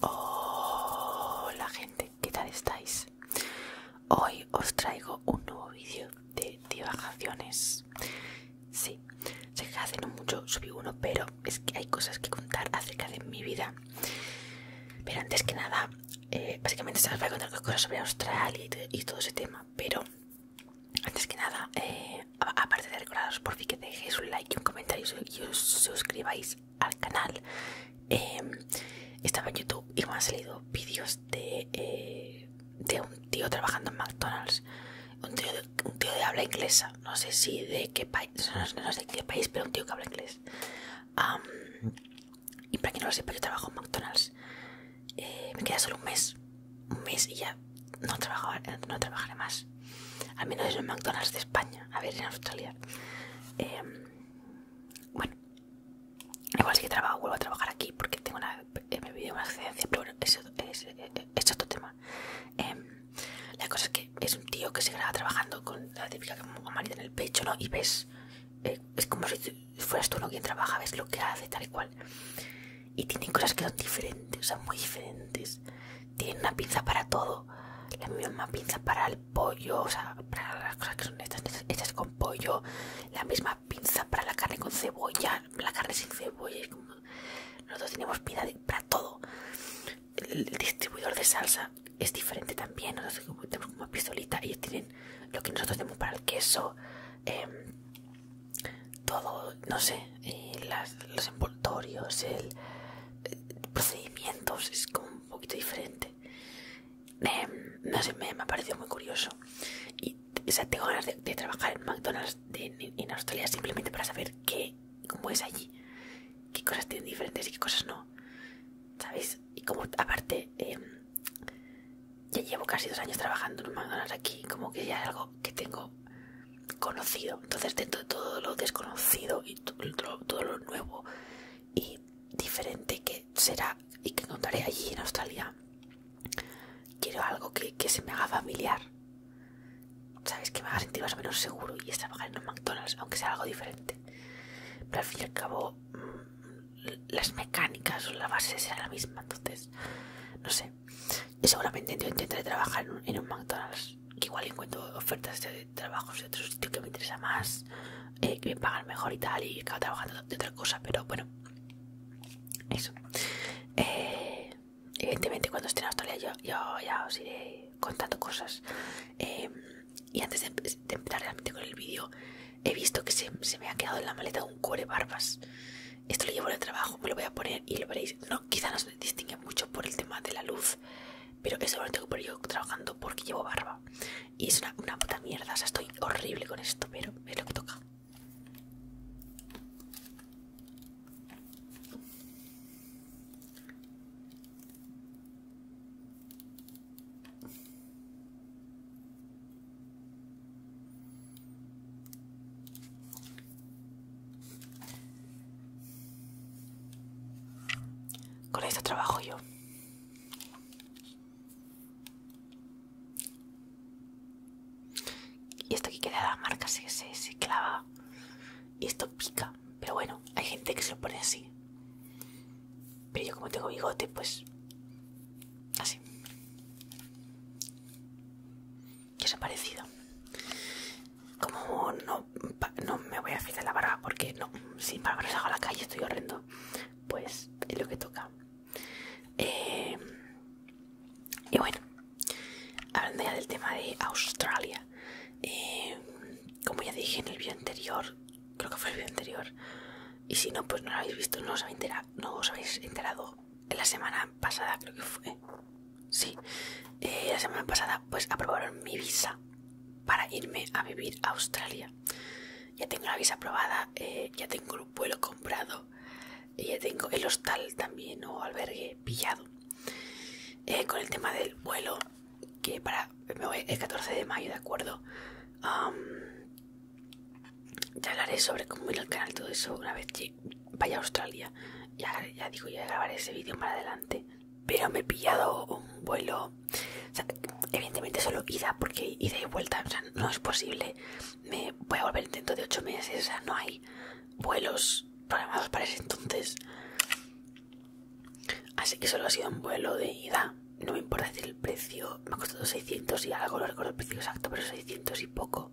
Hola gente, ¿qué tal estáis? Hoy os traigo un nuevo vídeo de divagaciones. Sí, sé que hace no mucho subí uno, pero es que hay cosas que contar acerca de mi vida. Pero antes que nada, eh, básicamente se os voy a contar cosas sobre Australia y, todo ese tema. Pero antes que nada, eh, aparte de recordaros por fin que dejéis un like y un comentario y os suscribáis al canal em, estaba en YouTube y me han salido vídeos de, eh, de un tío trabajando en McDonald's un tío, de, un tío habla inglesa no sé si de qué país no, sé de qué país pero un tío que habla inglés y para quien no lo sepa yo trabajo en McDonald's eh, me queda solo un mes un mes y ya no, trabajaba, no trabajaré más al menos es un McDonald's de España. A ver, en Australia. Em, bueno. Igual sí que trabajo, vuelvo a trabajar aquí porque tengo una, me vivido una excedencia, pero eso es, otro tema. Em, la cosa es que es un tío que se graba trabajando con la típica mamá en el pecho, ¿no? Y ves, eh, es como si fueras tú no quien trabaja, ves lo que hace, tal y cual. Y tienen cosas que son diferentes, o sea, muy diferentes tienen una pinza para todo. La misma pinza para el pollo, o sea, para las cosas que son estas, estas con pollo. La misma pinza para la carne con cebolla, la carne sin cebolla. Nosotros tenemos pinza para todo. El, distribuidor de salsa es diferente también. Nosotros tenemos como una pistolita. Ellos tienen lo que nosotros tenemos para el queso. Em, todo, no sé, eh, las, los envoltorios, el, procedimientos, es como un poquito diferente. no sé, me, ha parecido muy curioso. Y o tengo ganas de, trabajar en McDonald's en, Australia simplemente para saber qué, cómo es allí, qué cosas tienen diferentes y qué cosas no. ¿Sabéis? Y como aparte, em, ya llevo casi dos años trabajando en McDonald's aquí, como que ya es algo que tengo conocido. Entonces, dentro de todo lo desconocido y todo, lo nuevo y diferente que será y que encontraré allí en Australia, quiero algo que, que se me haga familiar. ¿Sabes? Que me haga sentir más o menos seguro y es trabajar en un McDonald's, aunque sea algo diferente. Pero al fin y al cabo, mm, las mecánicas o la base será la misma. Entonces, no sé. Y seguramente yo intentaré trabajar en un McDonald's que igual encuentro ofertas de trabajos de otro sitio que me interesa más, eh, que me pagan mejor y tal, y acabo trabajando de otra cosa, pero bueno, eso. Eh, evidentemente cuando esté en Australia yo, ya os iré contando cosas. Eh, y antes de, empezar realmente con el vídeo, he visto que se, me ha quedado en la maleta un cuore barbas. Esto lo llevo en el trabajo, me lo voy a poner y lo veréis. No, quizá no se distingue mucho por el tema de la luz, pero eso lo tengo por yo trabajando porque llevo barba y es una, una puta mierda, o sea, estoy horrible con esto, pero me lo que toca. Con esto trabajo yo. Y esto aquí queda la marca, se, se, clava. Y esto pica. Pero bueno, hay gente que se lo pone así. Pero yo como tengo bigote, pues... Así. ¿Qué es ha parecido? Como no no, me voy a fijar la barba porque no, sin barba no salgo a la calle, estoy horrendo. Pues es lo que toca. Eh, y bueno, hablando ya del tema de Australia, eh, como ya dije en el vídeo anterior, creo que fue el vídeo anterior, y si no, pues no lo habéis visto, no os habéis no os habéis enterado en la semana pasada, creo que fue, sí. Eh, la semana pasada pues aprobaron mi visa para irme a vivir a Australia. Ya tengo la visa aprobada, eh, ya tengo el vuelo comprado, y ya tengo el hostal también o albergue pillado. Eh, con el tema del vuelo, que para el 14 de mayo, ¿de acuerdo? ya hablaré sobre cómo ir al canal, todo eso, una vez que vaya a Australia. Ya, digo, ya grabaré ese vídeo para adelante pero me he pillado un vuelo. evidentemente solo ida, porque ida y vuelta, o sea, no es posible. Me voy a volver dentro de ocho meses, o sea, no hay vuelos programados para ese entonces. Así que solo ha sido un vuelo de ida. No me importa decir el precio, me ha costado 600 y algo, no recuerdo el precio exacto, pero 600 y poco.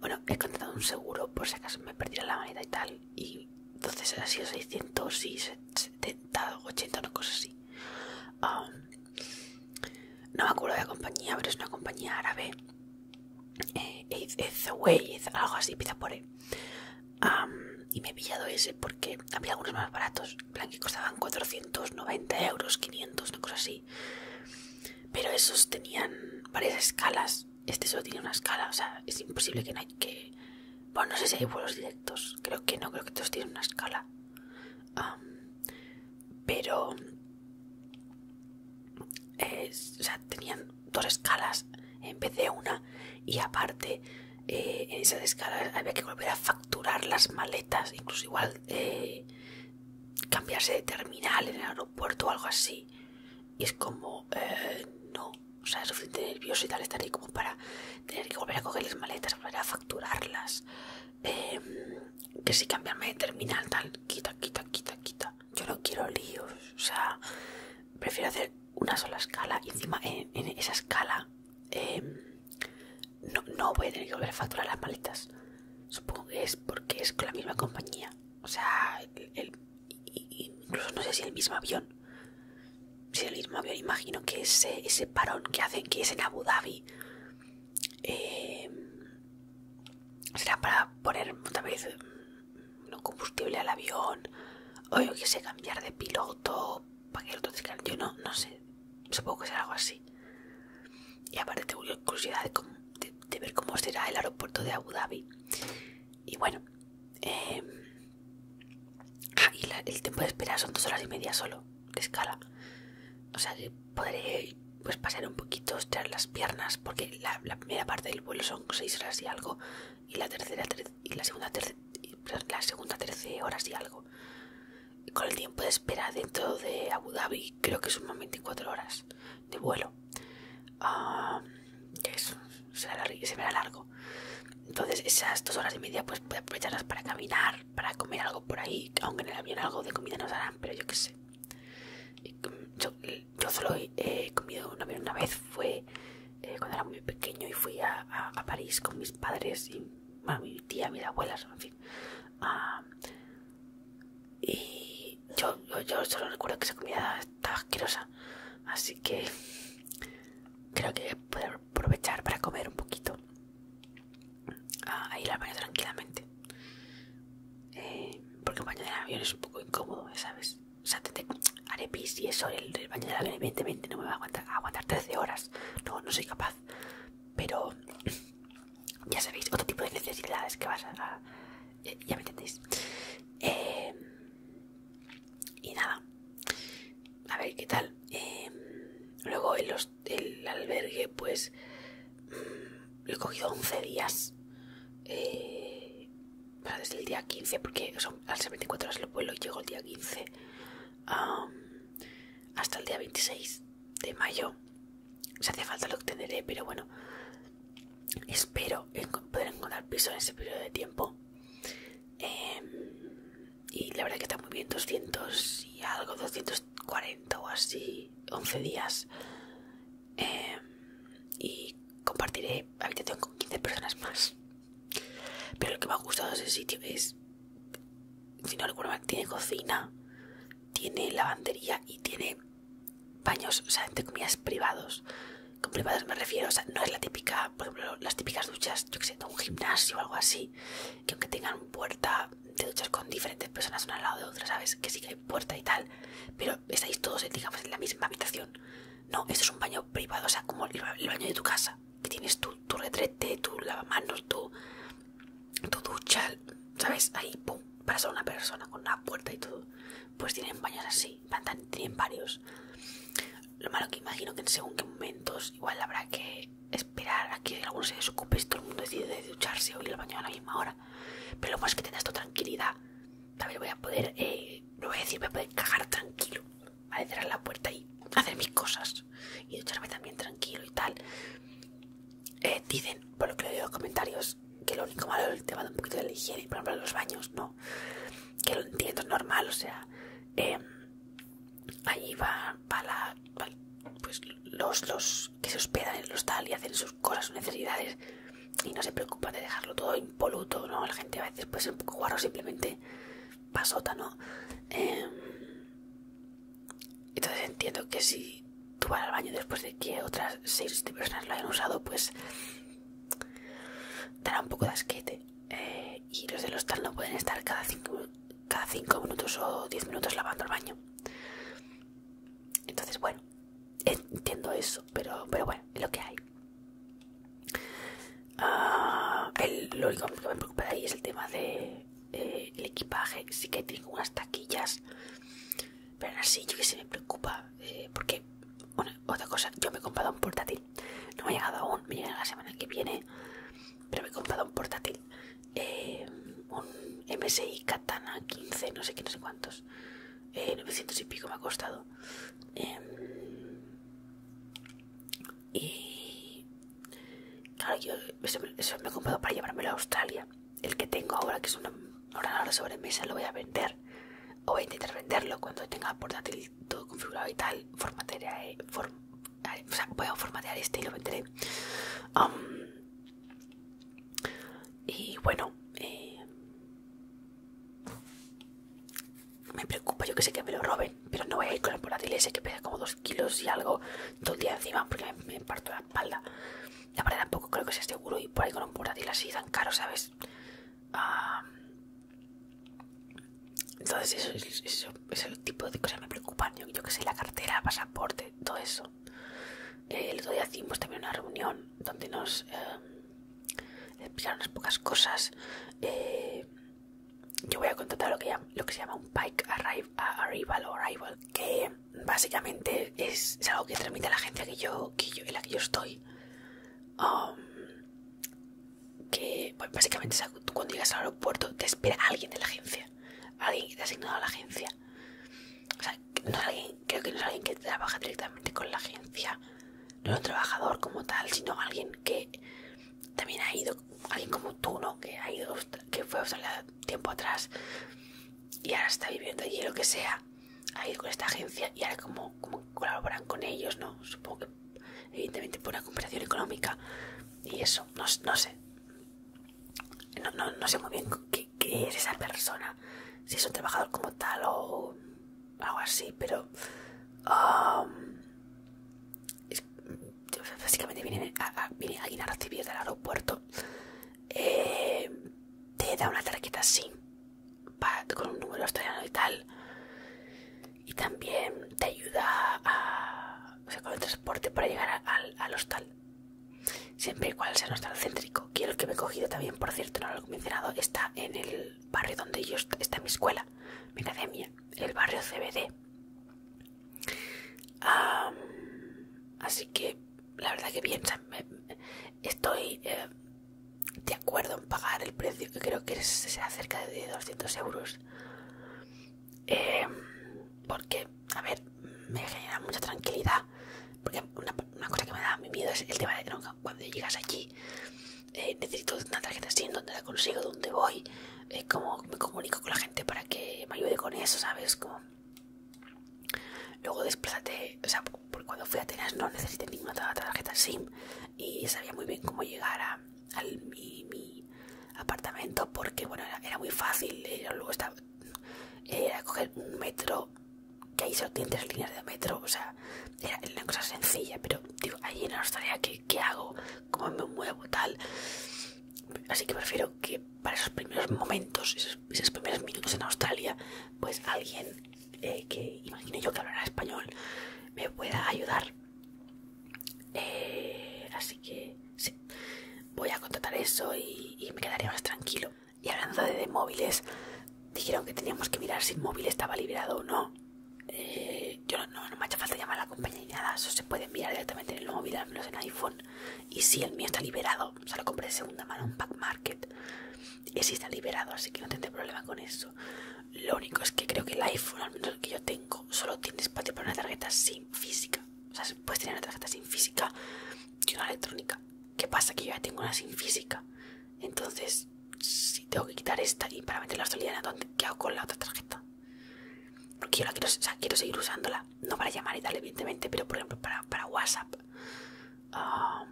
Bueno, he contratado un seguro por si acaso me perdiera la manita y tal, y entonces era sido 600 y 70, 80, una cosa así. no me acuerdo de la compañía, pero es una compañía árabe. Eh, algo así, pizza y me he pillado ese porque había algunos más baratos, en plan que costaban 490 euros, 500, una cosa así. Pero esos tenían varias escalas este solo tiene una escala, o sea, es imposible que no hay que... Bueno, no sé si hay vuelos directos, creo que no, creo que todos tienen una escala. pero... o sea, tenían dos escalas, en vez de una y aparte eh, en esas escalas había que volver a facturar las maletas, incluso igual eh, cambiarse de terminal en el aeropuerto o algo así y es como eh, no, o sea, es suficiente nervioso y tal estar como para tener que volver a coger las maletas, volver a facturarlas, em, que si cambiarme de terminal tal, quita, quita, quita, quita. Yo no quiero líos, o sea, prefiero hacer una sola escala y encima en, esa escala em, no, voy a tener que volver a facturar las maletas. Supongo que es porque es con la misma compañía. O sea, el incluso no sé si el mismo avión. Si el mismo avión, imagino que ese, ese parón que hacen, que es en Abu Dhabi, eh, será para poner otra vez mm, no combustible al avión, o yo que sé, cambiar de piloto, para que el otro yo no, no sé, supongo que será algo así. Y aparte tengo curiosidad de ver cómo será el aeropuerto de Abu Dhabi. Y bueno, Em, ah, y el tiempo de espera son dos horas y media solo, de escala. O sea, podré pues, pasar un poquito, estirar las piernas, porque la, primera parte del vuelo son seis horas y algo, y la tercera y la segunda tercera la segunda horas y algo. Con el tiempo de espera dentro de Abu Dhabi creo que son 24 horas de vuelo ah, que es, se me largo entonces esas dos horas y media pues puedo aprovecharlas para caminar para comer algo por ahí aunque en el avión algo de comida nos harán pero yo qué sé mm, yo, solo he comido un una vez fue eh, cuando era muy pequeño y fui a, París con mis padres y mi tía mis abuelas en fin ah, y yo, yo, yo solo recuerdo que esa comida está asquerosa. Así que creo que puedo aprovechar para comer un poquito. a ir al baño tranquilamente. Eh, porque un baño del avión es un poco incómodo, ¿sabes? O sea, te, haré pis y eso, el, baño del avión evidentemente no me va a aguantar, aguantar 13 horas. No, no soy capaz. Pero ya sabéis, otro tipo de necesidades que vas a ya me entendéis. Em, y nada, a ver qué tal. Em, luego el albergue, pues mm, lo he cogido 11 días. Eh, desde el día 15, porque son ser 24 horas el vuelo y llego el día 15. hasta el día 26 de mayo. se hace falta lo obteneré, pero bueno. Espero poder encontrar piso en ese periodo de tiempo. Em, y la verdad que está muy bien, 200 y algo, 240 o así, 11 días. Em, y compartiré habitación con 15 personas más. Pero lo que me ha gustado de ese sitio es, si no tiene cocina, tiene lavandería y tiene baños, o sea, entre comillas, privados. Con privados me refiero, o sea, no es la típica, por ejemplo, las típicas duchas, yo que sé, de un gimnasio o algo así, que aunque tengan puerta de duchas con diferentes personas una al lado de otra, ¿sabes? Que sí que hay puerta y tal, pero estáis todos, digamos, en la misma habitación. No, esto es un baño privado, o sea, como el, baño de tu casa, que tienes tu, retrete, tu lavamanos, tu, tu ducha, ¿sabes? Ahí, pum, para solo una persona con una puerta y todo. Pues tienen baños así van tienen varios. Lo malo que imagino que en según qué momentos igual habrá que esperar a que alguno se desocupe si todo el mundo decide ducharse o ir al baño a la misma hora. Pero lo bueno es que tengas tu tranquilidad. También voy a poder, lo eh, voy a decir, voy a poder cagar tranquilo. Vale, cerrar la puerta y hacer mis cosas. Y ducharme también tranquilo y tal. Eh, dicen, por lo que leo en los comentarios, que lo único malo es el tema de un poquito de la higiene, por ejemplo, los baños, ¿no? que lo entiendo normal o sea em, Ahí allí va, para pues los, que se hospedan en el hostal y hacen sus cosas sus necesidades y no se preocupan de dejarlo todo impoluto no la gente a veces puede ser un poco guaro simplemente pasota no em, entonces entiendo que si tú vas al baño después de que otras seis personas lo hayan usado pues dará un poco de asquete. Eh, y los del hostal no pueden estar cada cada cinco minutos o 10 minutos lavando el baño. Entonces, bueno, entiendo eso, pero, pero bueno, lo que hay. Ah, el, lo único que me preocupa de ahí es el tema del de, eh, equipaje. Sí que tengo unas taquillas pero sí, yo que se me preocupa. Eh, porque, otra cosa, yo me he comprado un portátil. No me ha llegado aún, me llegará la semana que viene. Pero me he comprado un portátil. Eh, un MSI Katana 15, no sé qué, no sé cuántos. 900 eh, y pico me ha costado. Em, y claro, yo me he comprado para llevármelo a Australia. El que tengo ahora, que es una Ahora sobre mesa lo voy a vender o voy a intentar venderlo cuando tenga portátil todo configurado y tal formatearé o sea, voy a formatear este y lo venderé um, y bueno eh, me preocupa yo que sé que me lo roben pero no voy a ir con el portátil ese que pesa como 2 kilos y algo todo el día encima porque me parto la espalda la verdad tampoco creo que sea seguro y por ahí con un portátil así tan caro, ¿sabes? Ah, entonces eso, es el tipo de cosas me preocupan. Yo, qué sé, la cartera, pasaporte, todo eso. Eh, el otro día hicimos también una reunión donde nos eh, explicaron unas pocas cosas. Eh, yo voy a contratar lo que, lo que se llama un Pike arrival, Arrival, que básicamente es, algo que transmite a la agencia que yo, en la que yo estoy Um, que pues, básicamente cuando llegas al aeropuerto te espera alguien de la agencia. Alguien que te ha asignado a la agencia. O sea, no es alguien, creo que no es alguien que trabaja directamente con la agencia. No es un trabajador como tal, sino alguien que también ha ido, alguien como tú, ¿no? Que, ha ido, que fue a Australia tiempo atrás y ahora está viviendo allí, lo que sea a ir con esta agencia y ahora como, colaboran con ellos, ¿no? Supongo que evidentemente por una comparación económica y eso, no, no sé. No, no, sé muy bien qué, es esa persona, si es un trabajador como tal o algo así, pero básicamente viene, a, a, alguien a recibir del aeropuerto, eh, te da una tarjeta así con un número australiano y tal. Y también te ayuda a, con el transporte para llegar al, al hostal. Siempre y cual sea hostal céntrico. el que me he cogido también, por cierto, no lo he mencionado, está en el barrio donde yo está, mi escuela, mi academia, el barrio CBD. así que la verdad que bien, estoy eh, de acuerdo en pagar el precio que creo que será cerca de 200 euros eh, porque a ver me genera mucha tranquilidad porque una, cosa que me da miedo es el tema de que cuando llegas allí eh, necesito una tarjeta SIM donde la consigo dónde voy eh, Como cómo me comunico con la gente para que me ayude con eso sabes como Luego desplázate, o sea, cuando fui a Atenas no necesité ninguna tarjeta SIM y sabía muy bien cómo llegar a, mi, apartamento porque, bueno, era, muy fácil. Era, luego estaba, coger un metro, que ahí se tres líneas de metro, o sea, era, una cosa sencilla, pero digo, ahí en Australia, ¿qué, hago? ¿Cómo me muevo? Tal. Así que prefiero que para esos primeros momentos, esos primeros minutos en Australia, pues alguien eh, que imagine yo que hablará español me pueda ayudar. Eh, así que sí, voy a contratar eso y, me quedaría más tranquilo. Y hablando de, móviles, dijeron que teníamos que mirar si el móvil estaba liberado o no. Eh, yo no, no, me ha falta llamar a la compañía ni nada, eso se puede mirar directamente en el móvil, al menos en iPhone. Y si el mío está liberado, o lo compré de segunda mano en Pack Market y si está liberado, así que no tendré problema con eso. Lo único es que creo que el iPhone, al menos el que yo tengo, solo tiene espacio para una tarjeta sin física. O sea, puedes tener una tarjeta sin física y una electrónica. ¿Qué pasa? Que yo ya tengo una sin física. Entonces, si tengo que quitar esta y para meter la australiana, ¿dónde? ¿qué hago con la otra tarjeta? Porque yo la quiero, quiero seguir usándola. No para llamar y tal, evidentemente, pero por ejemplo para, WhatsApp. Ah,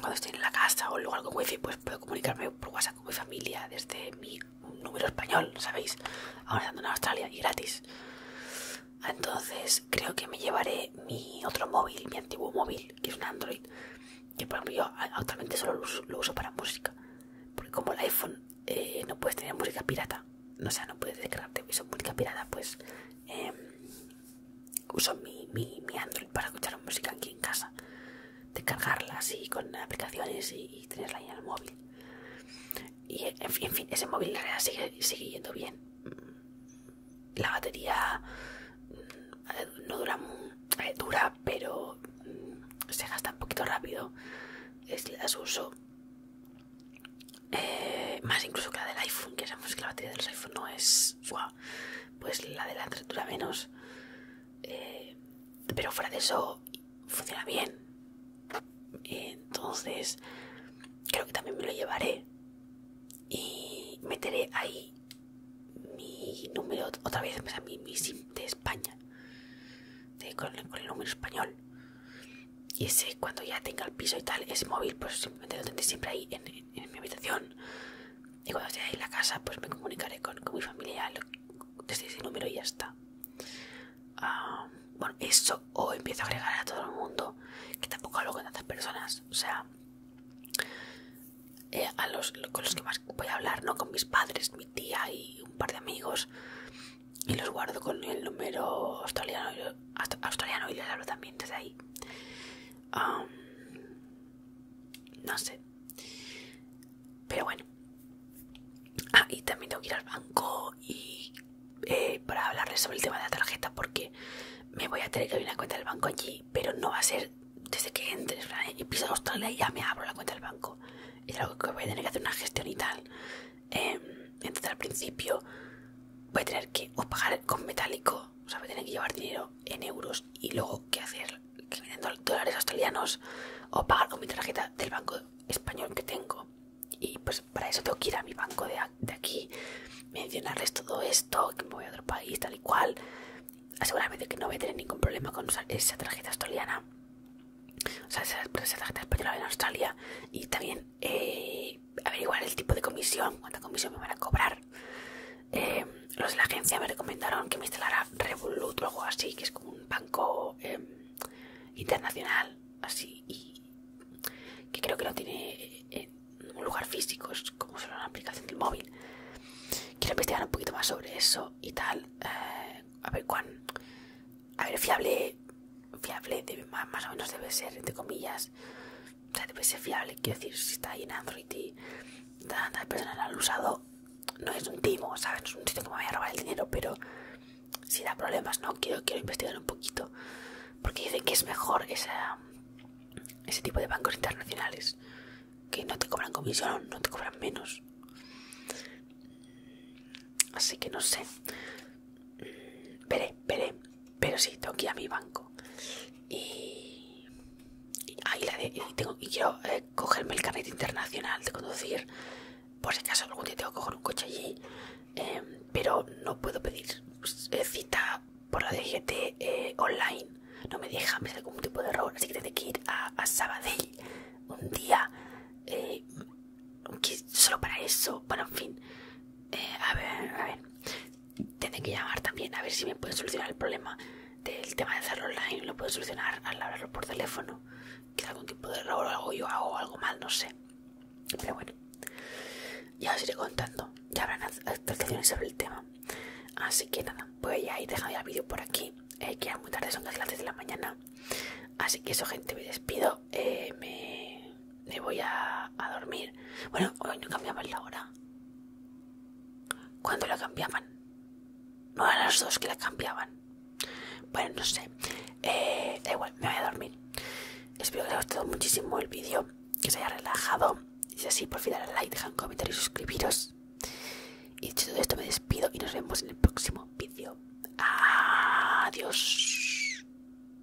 cuando estoy en la casa o lugar con wifi, pues puedo comunicarme por WhatsApp con mi familia desde mi número español, ¿sabéis? Ahora en Australia y gratis. Entonces creo que me llevaré mi otro móvil, mi antiguo móvil, que es un Android, que por ejemplo yo actualmente solo lo uso, para música, porque como el iPhone eh, no puedes tener música pirata, no sea, no puedes descargarte música pirata, pues em, uso mi, mi, mi Android para escuchar música aquí en casa, descargarla así con aplicaciones y, tenerla ahí en el móvil. Y en fin, ese móvil la realidad sigue, sigue yendo bien. Mm, la batería mm, eh, no dura, eh, dura, pero mm, se gasta un poquito rápido. Es las uso eh, más incluso que la del iPhone, que sabemos que la batería de iPhone no es pues la de la dura menos. Eh, pero fuera de eso, funciona bien. Entonces, creo que también me lo llevaré y meteré ahí mi número, otra vez, mi, mi SIM de España, con el número español y ese cuando ya tenga el piso y tal Ese móvil pues simplemente lo tendré siempre ahí en, mi habitación y cuando esté ahí en la casa pues me comunicaré con, mi familia desde ese número y ya está ah, bueno eso o empiezo a agregar a todo el mundo que tampoco hablo con tantas personas o sea eh, a los con los que más voy a hablar no con mis padres mi tía y un par de amigos y los guardo con el número australiano, australiano y les hablo también desde ahí no sé pero bueno ah y también tengo que ir al banco y eh, para hablarles sobre el tema de la tarjeta porque me voy a tener que abrir una cuenta del banco allí pero no va a ser desde que entres y piso a Australia y ya me abro la cuenta del banco es algo que voy a tener que hacer una gestión y tal em, entonces al principio voy a tener que o pagar con metálico, o sea, voy a tener que llevar dinero en euros y luego qué hacer, que venden dólares australianos, o pagar con mi tarjeta del banco español que tengo. Y pues para eso tengo que ir a mi banco de, aquí, mencionarles todo esto, que me voy a otro país, tal y cual. de que no voy a tener ningún problema con esa tarjeta australiana. O sea, esa, tarjeta española en Australia. Y también eh, averiguar el tipo de comisión, cuánta comisión me van a cobrar. Eh, los de la agencia me recomendaron que me instalara Revolut o algo así, que es como un banco em, internacional, así, y que creo que no tiene un lugar físico, es como solo una aplicación del móvil. Quiero investigar un poquito más sobre eso y tal. Eh, a ver cuán. A ver, fiable. Fiable más o menos debe ser, entre comillas, o sea, debe ser fiable quiero decir si está ahí en Android y tantas personas han usado no es un timo sabes no es un sitio que me vaya a robar el dinero pero si da problemas no quiero quiero investigar un poquito porque dicen que es mejor ese tipo de bancos internacionales que no te cobran comisión no te cobran menos así que no sé Veré, veré. Pero sí, tengo que ir a mi banco. Y. tengo, y quiero eh, cogerme el carnet internacional de conducir. Por si acaso algún día tengo que coger un coche allí. Em, pero no puedo pedir eh, cita por la DGT eh, online. No me deja, me sale algún tipo de error. Así que tengo que ir a, Sabadell un día. solo para eso. Bueno, en fin. Eh, a ver, a ver. Tendré que llamar también a ver si me puede solucionar el problema del tema de hacerlo online. Lo puedo solucionar al hablarlo por teléfono. Quizá algún tipo de error o algo yo hago o algo mal, no sé. Pero bueno, ya os iré contando. Ya habrán actualizaciones sobre el tema. Así que nada, pues ya he dejando ya el vídeo por aquí. Eh, que ya muy tarde, son las clases de la mañana. Así que eso, gente, me despido. Eh, me me voy a, dormir. Bueno, hoy no cambiaban la hora. ¿Cuándo la cambiaban? No a las dos que la cambiaban. Bueno, no sé. Eh, da igual, me voy a dormir. Espero que les haya gustado muchísimo el vídeo, que se haya relajado. Si es así, por favor darle like, un comentarios y suscribiros. Y dicho todo esto, me despido y nos vemos en el próximo vídeo. Adiós.